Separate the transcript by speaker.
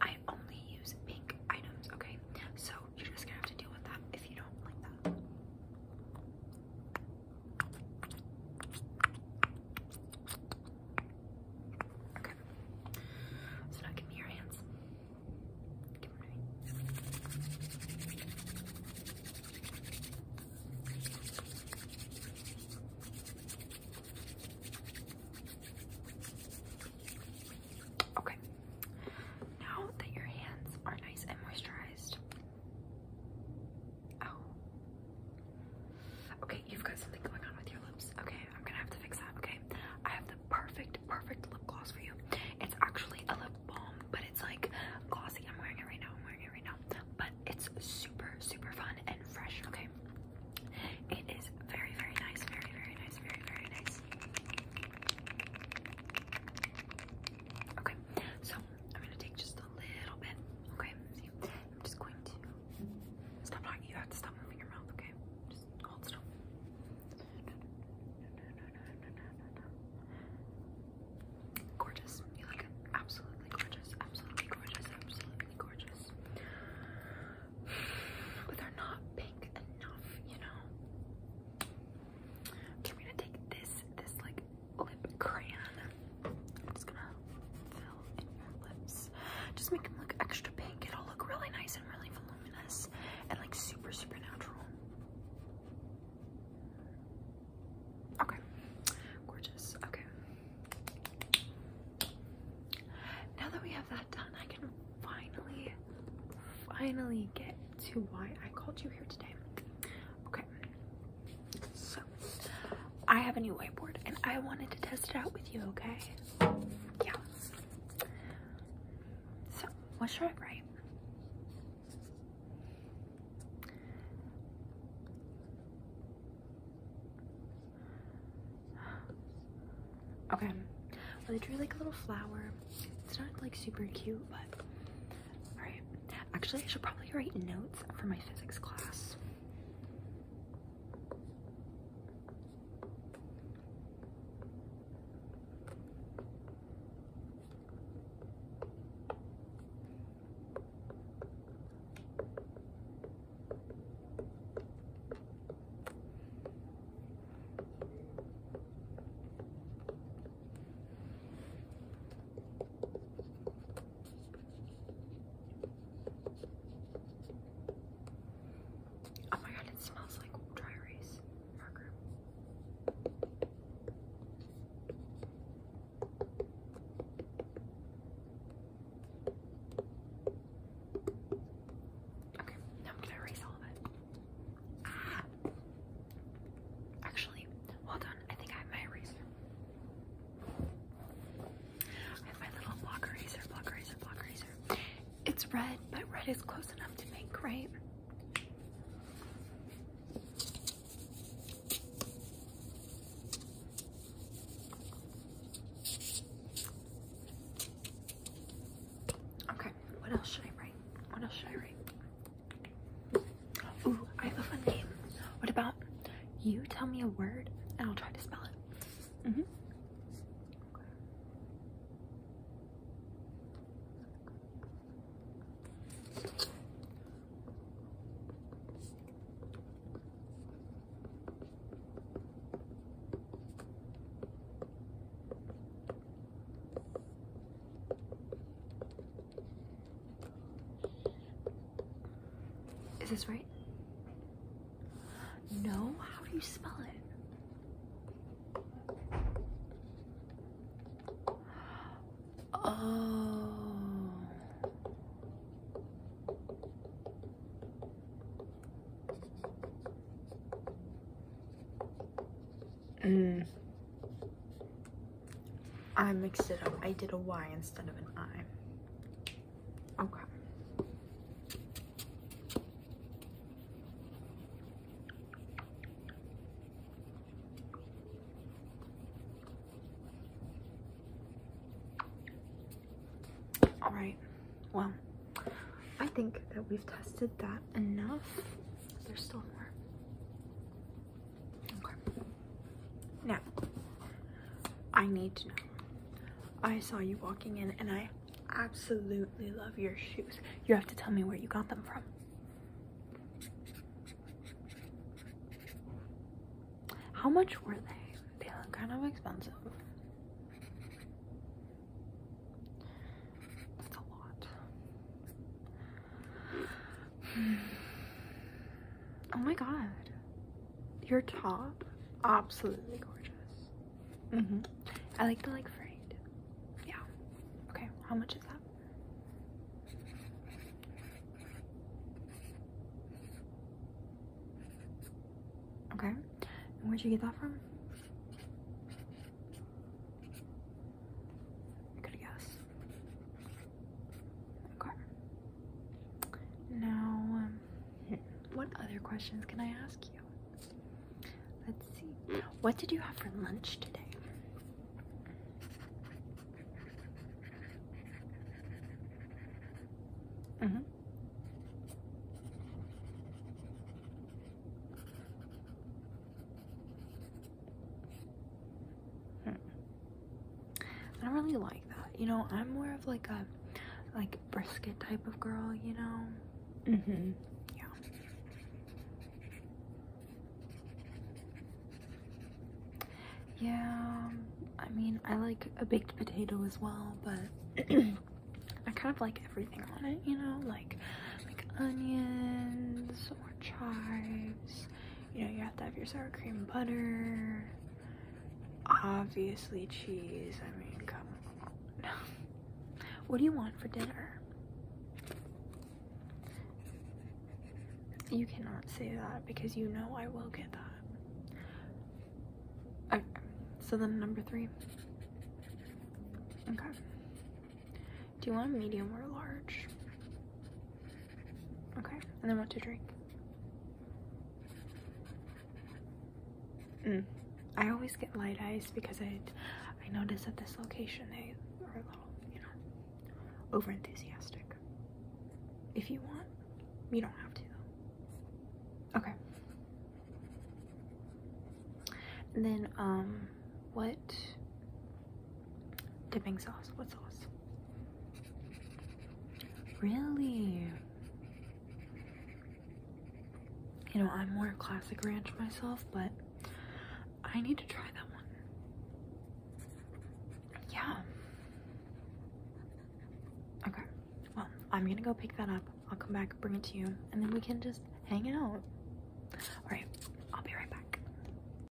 Speaker 1: I only use pink items, okay? So you're just gonna have to deal with that if you don't like that. Okay. So now give me your hands. Okay, now that your hands are nice and moisturized. Oh. Okay, you've got something going on with your lips. Okay, I'm gonna have to fix that. Okay, I have the perfect, perfect lip gloss for you. It's actually a lip balm, but it's like glossy. I'm wearing it right now. I'm wearing it right now but it's super, super fun and fresh, okay? It is very, very nice, very, very nice, very, very nice. Okay, so I'm gonna take just a little bit, okay? I'm just going to stop talking. You have to stop moving your mouth, okay? Just hold still. Gorgeous. absolutely gorgeous. Absolutely gorgeous. Absolutely gorgeous. But they're not pink enough, you know. Okay, i gonna take this, this like lip crayon. I'm just gonna fill in your lips. Just make them look extra pink. It'll look really nice and really voluminous and like super super natural. Okay, gorgeous. Okay. Now that we have that done, I can finally, finally get to why I called you here today. Okay, so I have a new whiteboard and I wanted to test it out with you, okay? Yeah. So, what should I write? Okay. Well, they drew like a little flower. It's not like super cute, but all right. Actually, I should probably write notes for my physics class. Oh my god, it smells like dry erase. Okay, now I'm gonna erase all of it. Ah. Actually, well done. I think I have my eraser. I have my little block eraser, block eraser, block eraser. It's red, but red is close enough to make, right? Okay, what else should I write? What else should I write? Ooh, I have a fun game. What about you tell me a word and I'll try to spell it? hmm is this right? No? How do you spell it? Oh. Mm. I mixed it up. I did a Y instead of an I. Okay. All right, well, I think that we've tested that enough. There's still more. Now, I need to know. I saw you walking in and I absolutely love your shoes. You have to tell me where you got them from. How much were they? They look kind of expensive. That's a lot. Oh my god. Your top? Absolutely gorgeous. Mm hmm I like the like fried. Yeah. Okay, how much is that? Okay. where'd you get that from? I could guess. Okay. Now, um, what other questions can I ask you? Let's see. What did you have for lunch today? Mm -hmm. I don't really like that. You know, I'm more of like a like brisket type of girl, you know? Mm-hmm. Yeah. Yeah, I mean, I like a baked potato as well, but I kind of like everything on it, you know? Like, like onions or chives, you know, you have to have your sour cream and butter, Obviously cheese. I mean, come on. what do you want for dinner? You cannot say that because you know I will get that. Okay. So then number three. Okay. Do you want medium or large? Okay, and then what to drink? Mm. I always get light eyes because I I notice at this location they are a little, you know, over enthusiastic. If you want, you don't have to Okay. And then um what Dipping sauce. What sauce? Really? You know, I'm more classic ranch myself, but I need to try that one. Yeah. Okay. Well, I'm gonna go pick that up. I'll come back, bring it to you, and then we can just hang out. Alright, I'll be right back.